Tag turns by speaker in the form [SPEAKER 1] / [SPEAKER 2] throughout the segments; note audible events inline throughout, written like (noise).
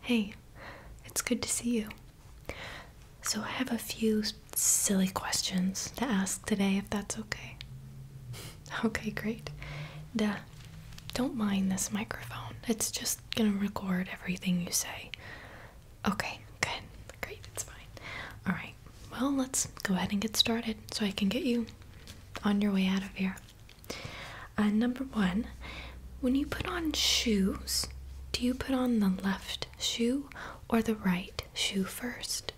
[SPEAKER 1] Hey, it's good to see you. So, I have a few silly questions to ask today, if that's okay. (laughs) okay, great. Duh. Don't mind this microphone, it's just gonna record everything you say. Okay, good. Great, it's fine. Alright, well, let's go ahead and get started so I can get you on your way out of here. Uh, number one, when you put on shoes, do you put on the left shoe or the right shoe first?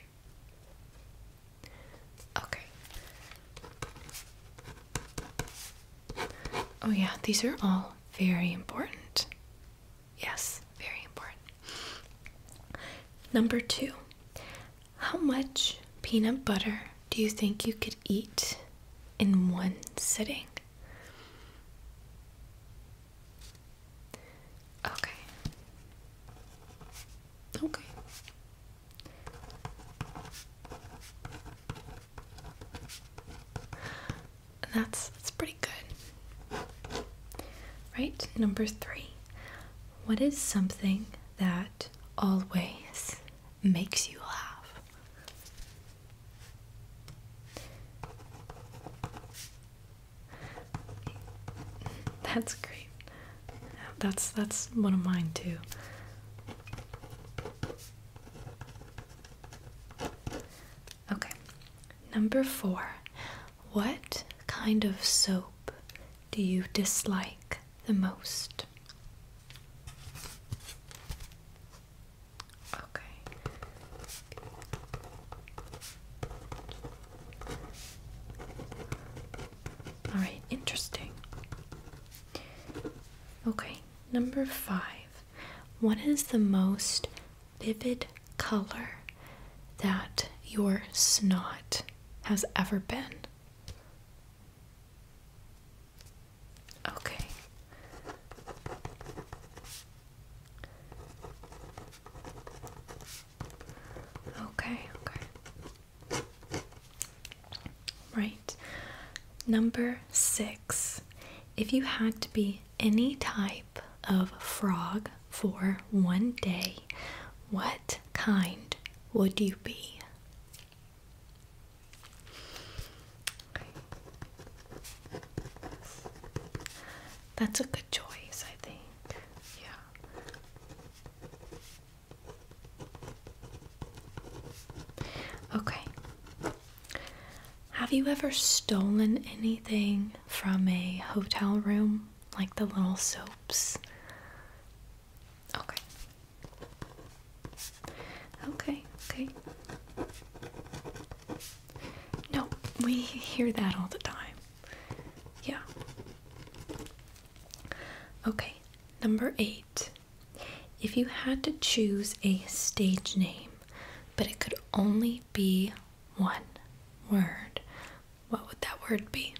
[SPEAKER 1] Okay. Oh, yeah, these are all very important. Yes, very important. Number two, how much peanut butter do you think you could? eat in one sitting. Okay. Okay. That's that's pretty good. Right? Number 3. What is something that always makes you laugh. That's great. That's that's one of mine too. Okay. Number 4. What kind of soap do you dislike the most? Okay. All right, interesting. Okay, number five. What is the most vivid color that your snot has ever been? Okay. Okay, okay. Right. Number six. If you had to be any type of frog for one day, what kind would you be? That's a good choice, I think. Yeah. Okay. Have you ever stolen anything from a hotel room? Like the little soaps? Okay. Okay, okay. No, we hear that all the time. Yeah. Okay, number eight. If you had to choose a stage name, but it could only be one word, what would that word be?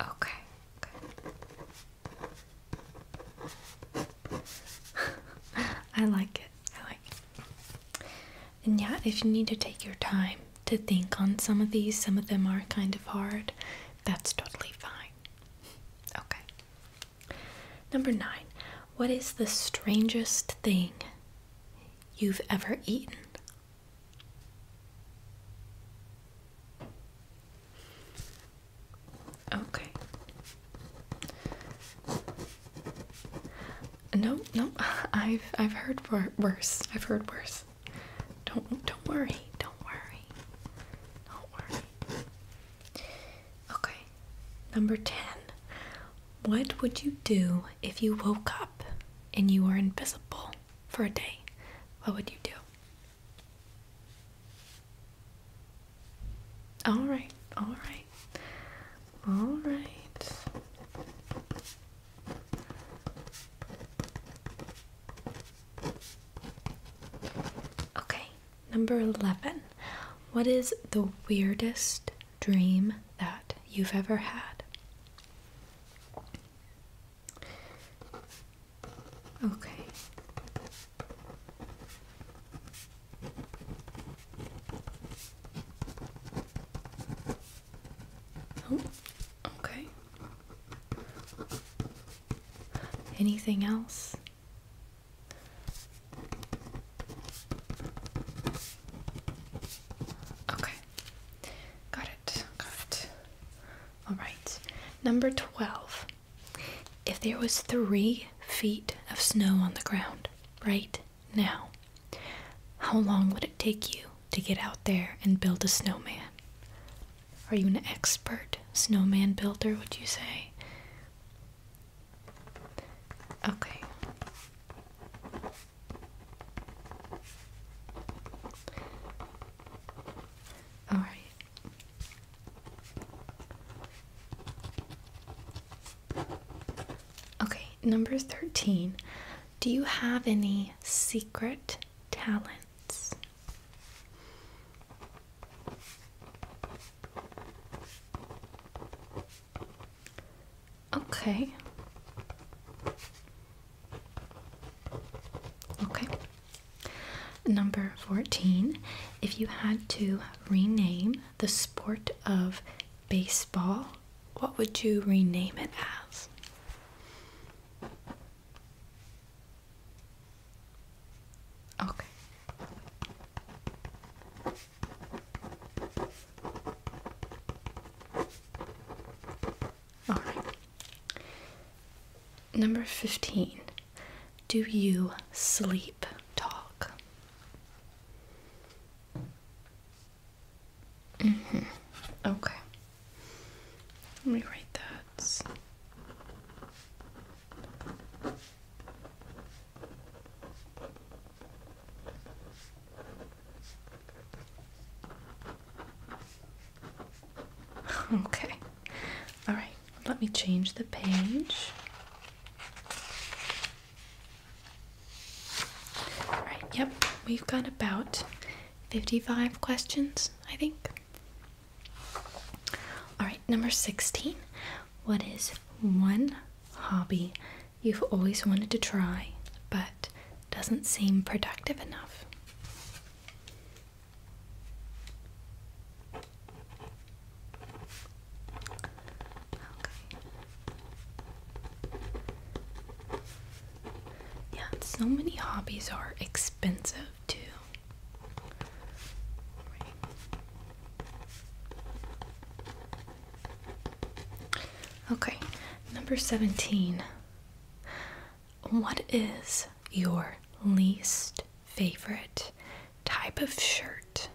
[SPEAKER 1] Okay, good. (laughs) I like it. I like it. And yeah, if you need to take your time to think on some of these, some of them are kind of hard, that's totally fine. Okay. Number nine. What is the strangest thing you've ever eaten Okay. No, no, (laughs) I've I've heard worse. I've heard worse. Don't don't worry. Don't worry. Don't worry. Okay. Number 10. What would you do if you woke up? and you were invisible for a day, what would you do? All right, all right, all right. Okay, number 11. What is the weirdest dream that you've ever had? Okay. Oh, okay. Anything else? Okay. Got it. Got it. All right. Number 12. If there was three feet of snow on the ground right now, how long would it take you to get out there and build a snowman? Are you an expert snowman builder, would you say? Okay. All right. Okay, number 13. Do you have any secret talents? Okay. Okay. Number 14. If you had to rename the sport of baseball, what would you rename it as? Okay. All right. Number 15. Do you sleep talk? -hmm. Okay. Let me write that. (laughs) okay. All right. Let me change the page. All right. Yep. We've got about 55 questions, I think. All right. Number 16. What is one hobby you've always wanted to try but doesn't seem productive enough? Yeah, so many hobbies are expensive too. Okay, number 17. What is your least favorite type of shirt?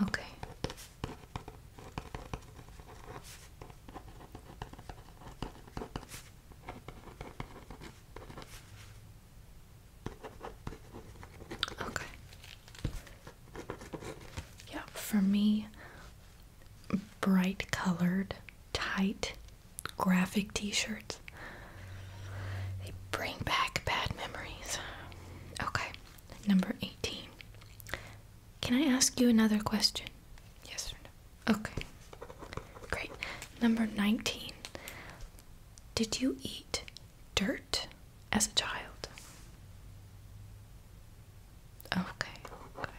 [SPEAKER 1] Okay. Okay. Yeah, for me, bright colored, tight, graphic t shirts. They bring back bad memories. Okay, number 18. Can I ask you another question? Yes or no? Okay. Great. Number 19. Did you eat dirt? as a child. Okay, okay,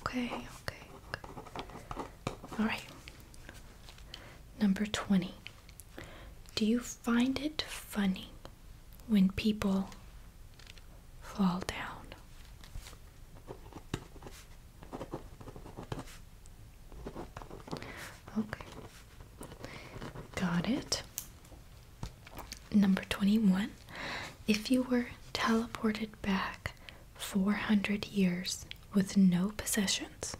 [SPEAKER 1] okay, okay. All right. Number 20. Do you find it funny when people fall down? Okay. Got it. Number 21. If you were teleported back 400 years with no possessions,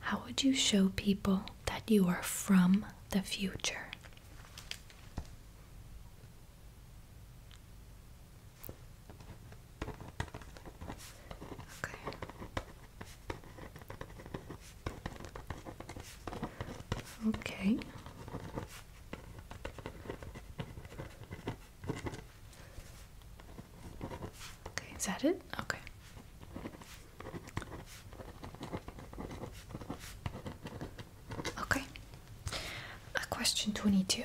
[SPEAKER 1] how would you show people that you are from the future? Okay. Okay. Okay, is that it? Okay. Okay. question 22.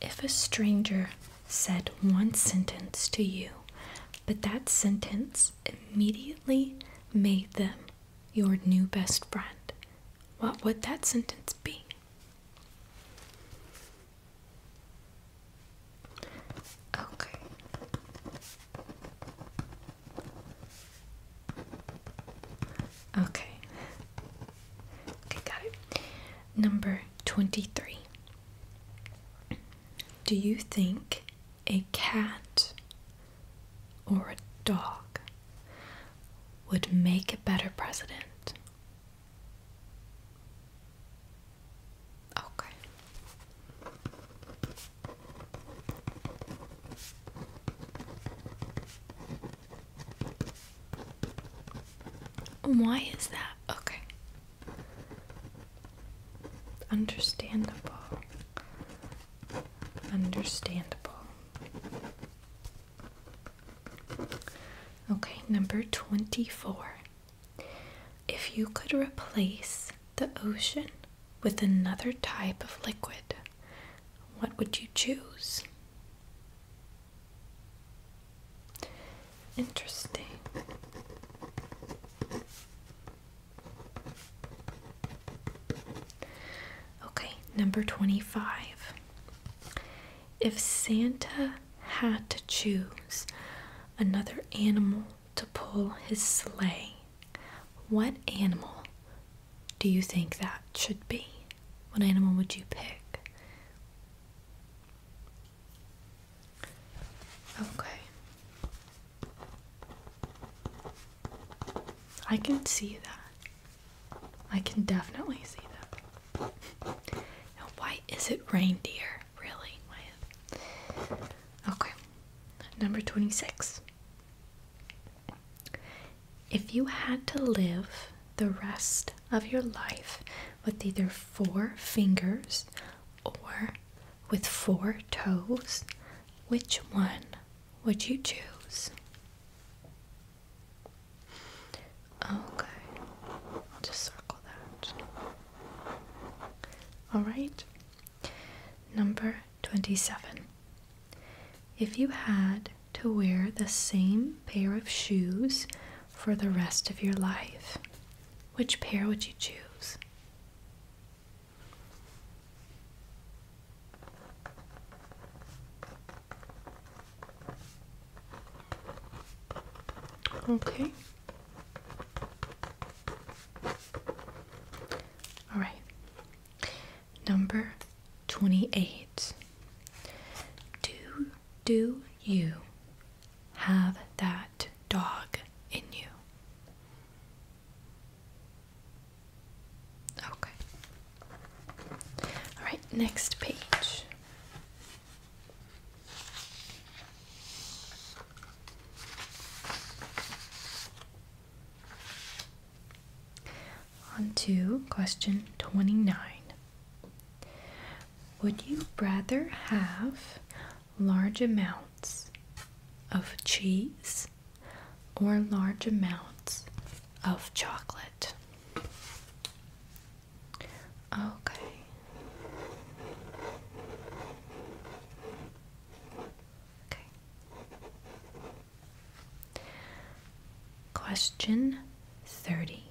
[SPEAKER 1] If a stranger said one sentence to you, but that sentence immediately made them your new best friend, what would that sentence be? Okay. Okay. Okay, got it. Number 23. Do you think a cat or a dog would make a better president? Okay. Why is that? Okay. Understandable. Understandable. Okay, number 24. If you could replace the ocean with another type of liquid, what would you choose? Interesting. Okay, number 25. If Santa had to choose another animal to pull his sleigh, what animal do you think that should be? What animal would you pick? Okay. I can see that. I can definitely see that. Now, why is it reindeer? Really? Why? Okay. Number 26. If you had to live the rest of your life with either four fingers or with four toes, which one would you choose? Okay, I'll just circle that. Alright, number 27. If you had to wear the same pair of shoes for the rest of your life, which pair would you choose? Okay. All right. Number 28. Do do you have that dog in you. Okay. All right, next page. On to question 29. Would you rather have large amounts of cheese or large amounts of chocolate. Okay. Okay. Question 30.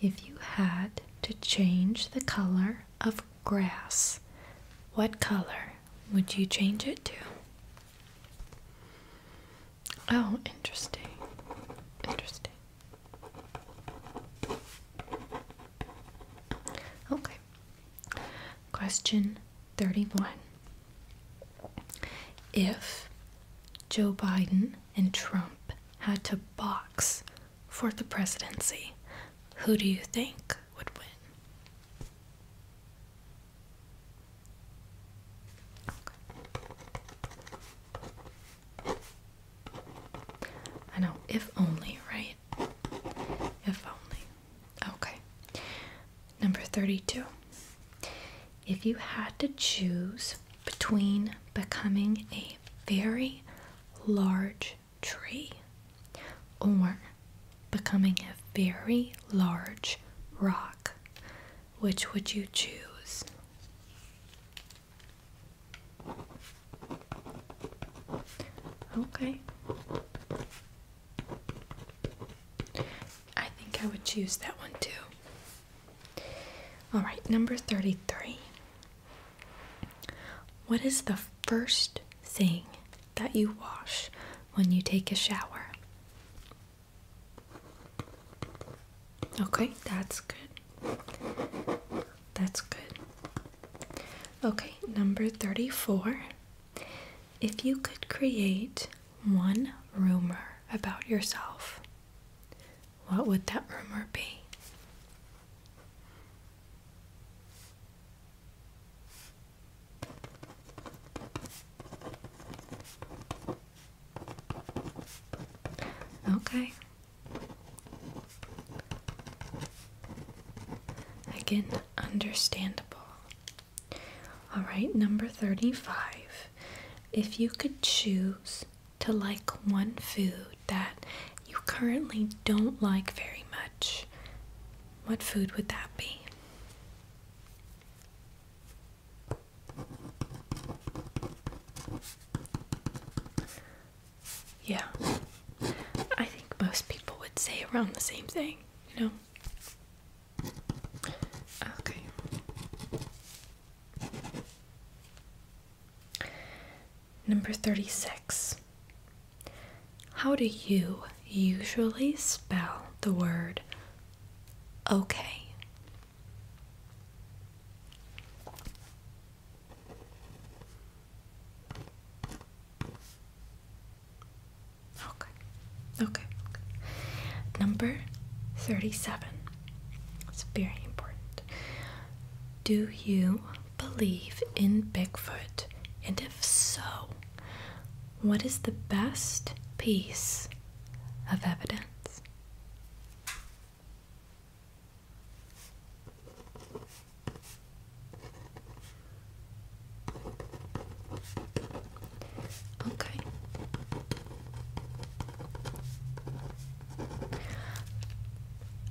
[SPEAKER 1] If you had to change the color of grass, what color would you change it to? Oh, interesting. Interesting. Okay. Question 31. If Joe Biden and Trump had to box for the presidency, who do you think would win? I know, if only, right? If only. Okay. Number 32. If you had to choose between becoming a very large tree or becoming a very large rock, which would you choose? Okay. I think I would choose that one too. All right, number 33. What is the first thing that you wash when you take a shower? Okay, that's good. That's good. Okay, number 34. If you could create one rumor about yourself, what would that rumor be? Okay. Again, understandable. All right, number 35. If you could choose to like one food that you currently don't like very much, what food would that be? Yeah, I think most people would say around the same thing, you know? Okay. Number 36. How do you usually spell the word okay? Okay. Okay. Number 37. It's very important. Do you believe in Bigfoot? And if so, what is the best piece of evidence? Okay.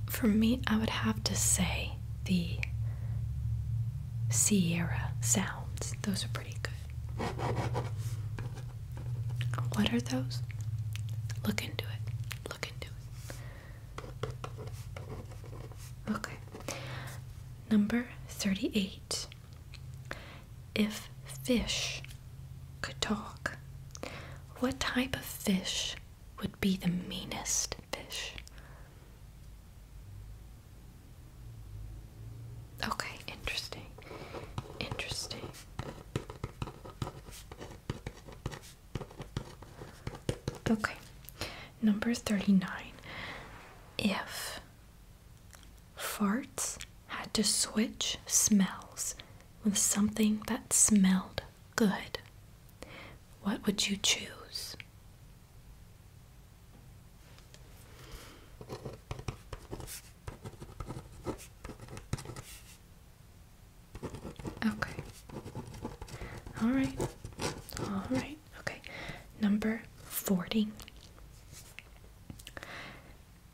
[SPEAKER 1] For me, I would have to say the Sierra sounds. Those are pretty good. What are those? Look into it. Look into it. Okay. Number 38. If fish could talk, what type of fish would be the meanest fish. Okay, interesting. Interesting. Okay, number 39. If farts had to switch smells with something that smelled good, what would you choose? Okay. All right. All right. Okay. Number 40.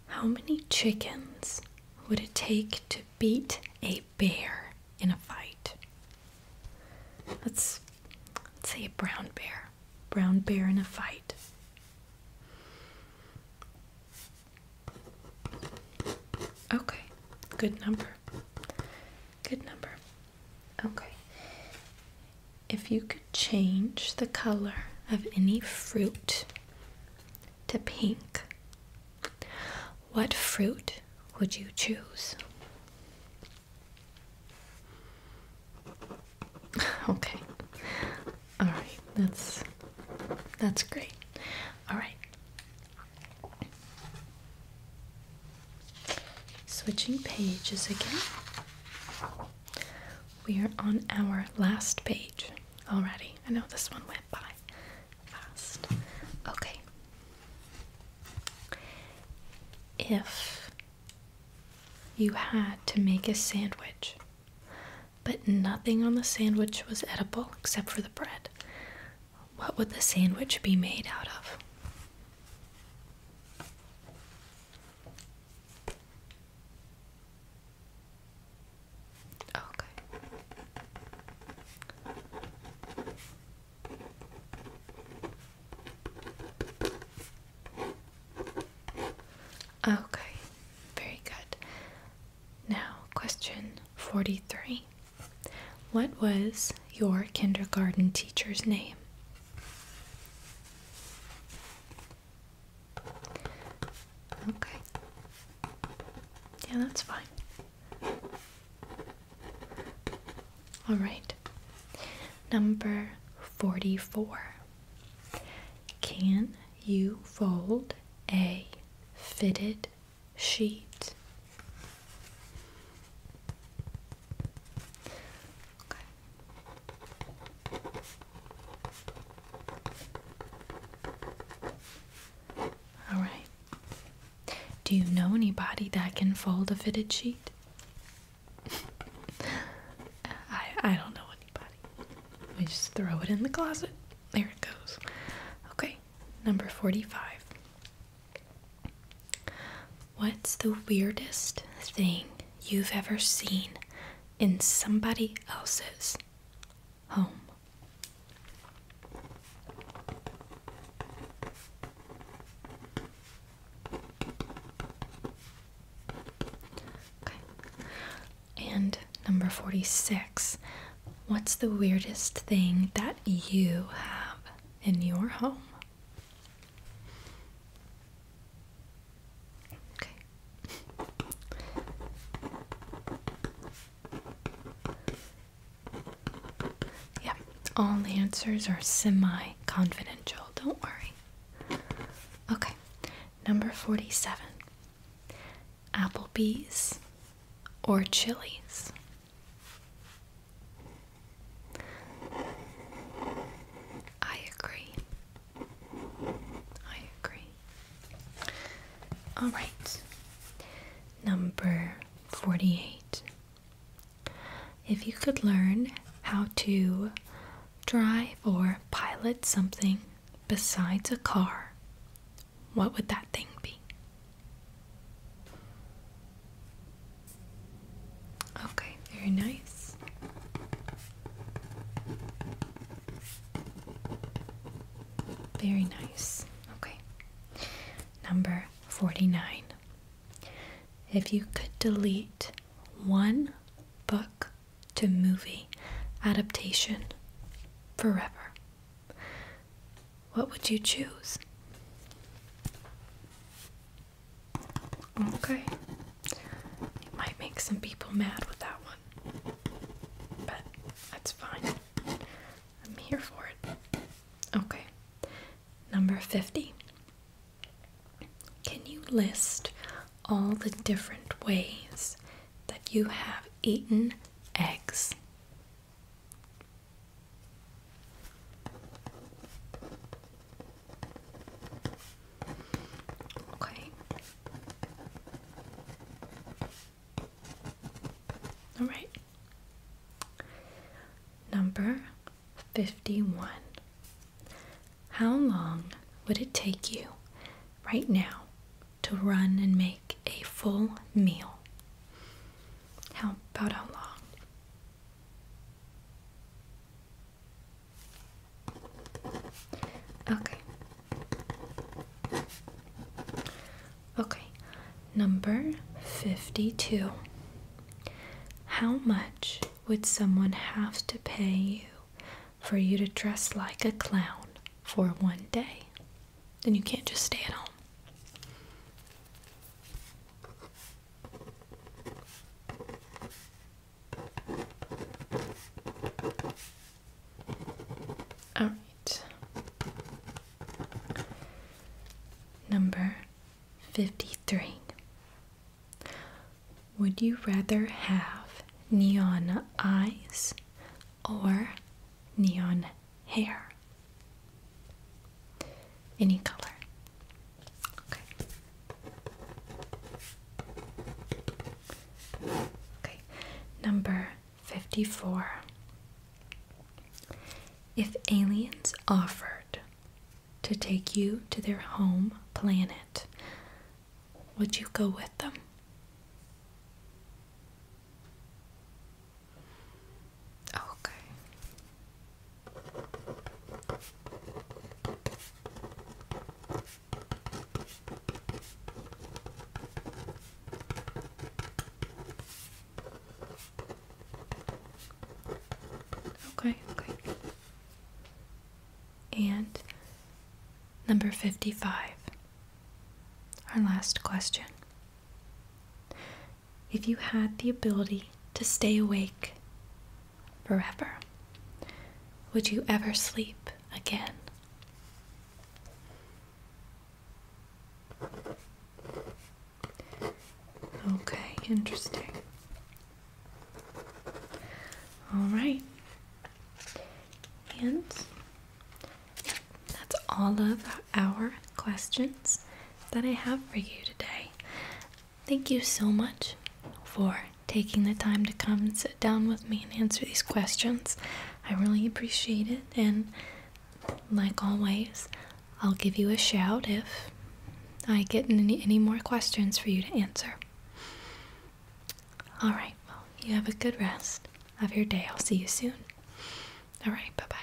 [SPEAKER 1] How many chickens would it take to beat a bear in a fight. Let's, let's say a brown bear. Brown bear in a fight. Okay, good number. Good number. Okay. If you could change the color of any fruit to pink, what fruit would you choose? (laughs) Okay. All right. That's that's great. All right. Switching pages again. We are on our last page already. I know this one went by fast. Okay. If you had to make a sandwich, but nothing on the sandwich was edible except for the bread, what would the sandwich be made out of? Okay. Okay, very good. Now, question 43. What was your kindergarten teacher's name? Okay. Yeah, that's fine. All right. Number 44. Can you fold a fitted sheet? All right. Do you know anybody that can fold a fitted sheet? (laughs) I I don't know anybody. We just throw it in the closet. There it goes. Okay. Number 45. What's the weirdest thing you've ever seen in somebody else's home. Okay. And number 46. What's the weirdest thing that you have in your home? Yeah, all answers are semi confidential, don't worry. Okay, number 47 Applebee's or Chili's? I agree. I agree. All right. Number 48. If you could learn how to drive or pilot something besides a car, what would that thing be? Okay, very nice. Very nice. Okay. Number 49. If you could delete one book to movie adaptation forever, what would you choose? Okay. might make some people mad with that one, but that's fine. I'm here for it. Okay. Number 50. Can you list all the different ways that you have eaten eggs? Okay. All right. Number 51. How long would it take you right now to run and make a full meal? How about how long? Okay. Okay, number 52. How much would someone have to pay you for you to dress like a clown for one day? Then you can't just stay at home. All right. Number 53. Would you rather have neon eyes or neon hair? Any color. Okay. Okay. Number 54. If aliens offered to take you to their home planet, would you go with them? Okay. Okay, okay. And number 55, our last question. If you had the ability to stay awake forever, would you ever sleep again? Okay, interesting. All right. And that's all of our questions that I have for you today. Thank you so much for taking the time to come and sit down with me and answer these questions. I really appreciate it, and like always, I'll give you a shout if I get any, any more questions for you to answer. All right, well, you have a good rest Have your day. I'll see you soon. All right, bye bye.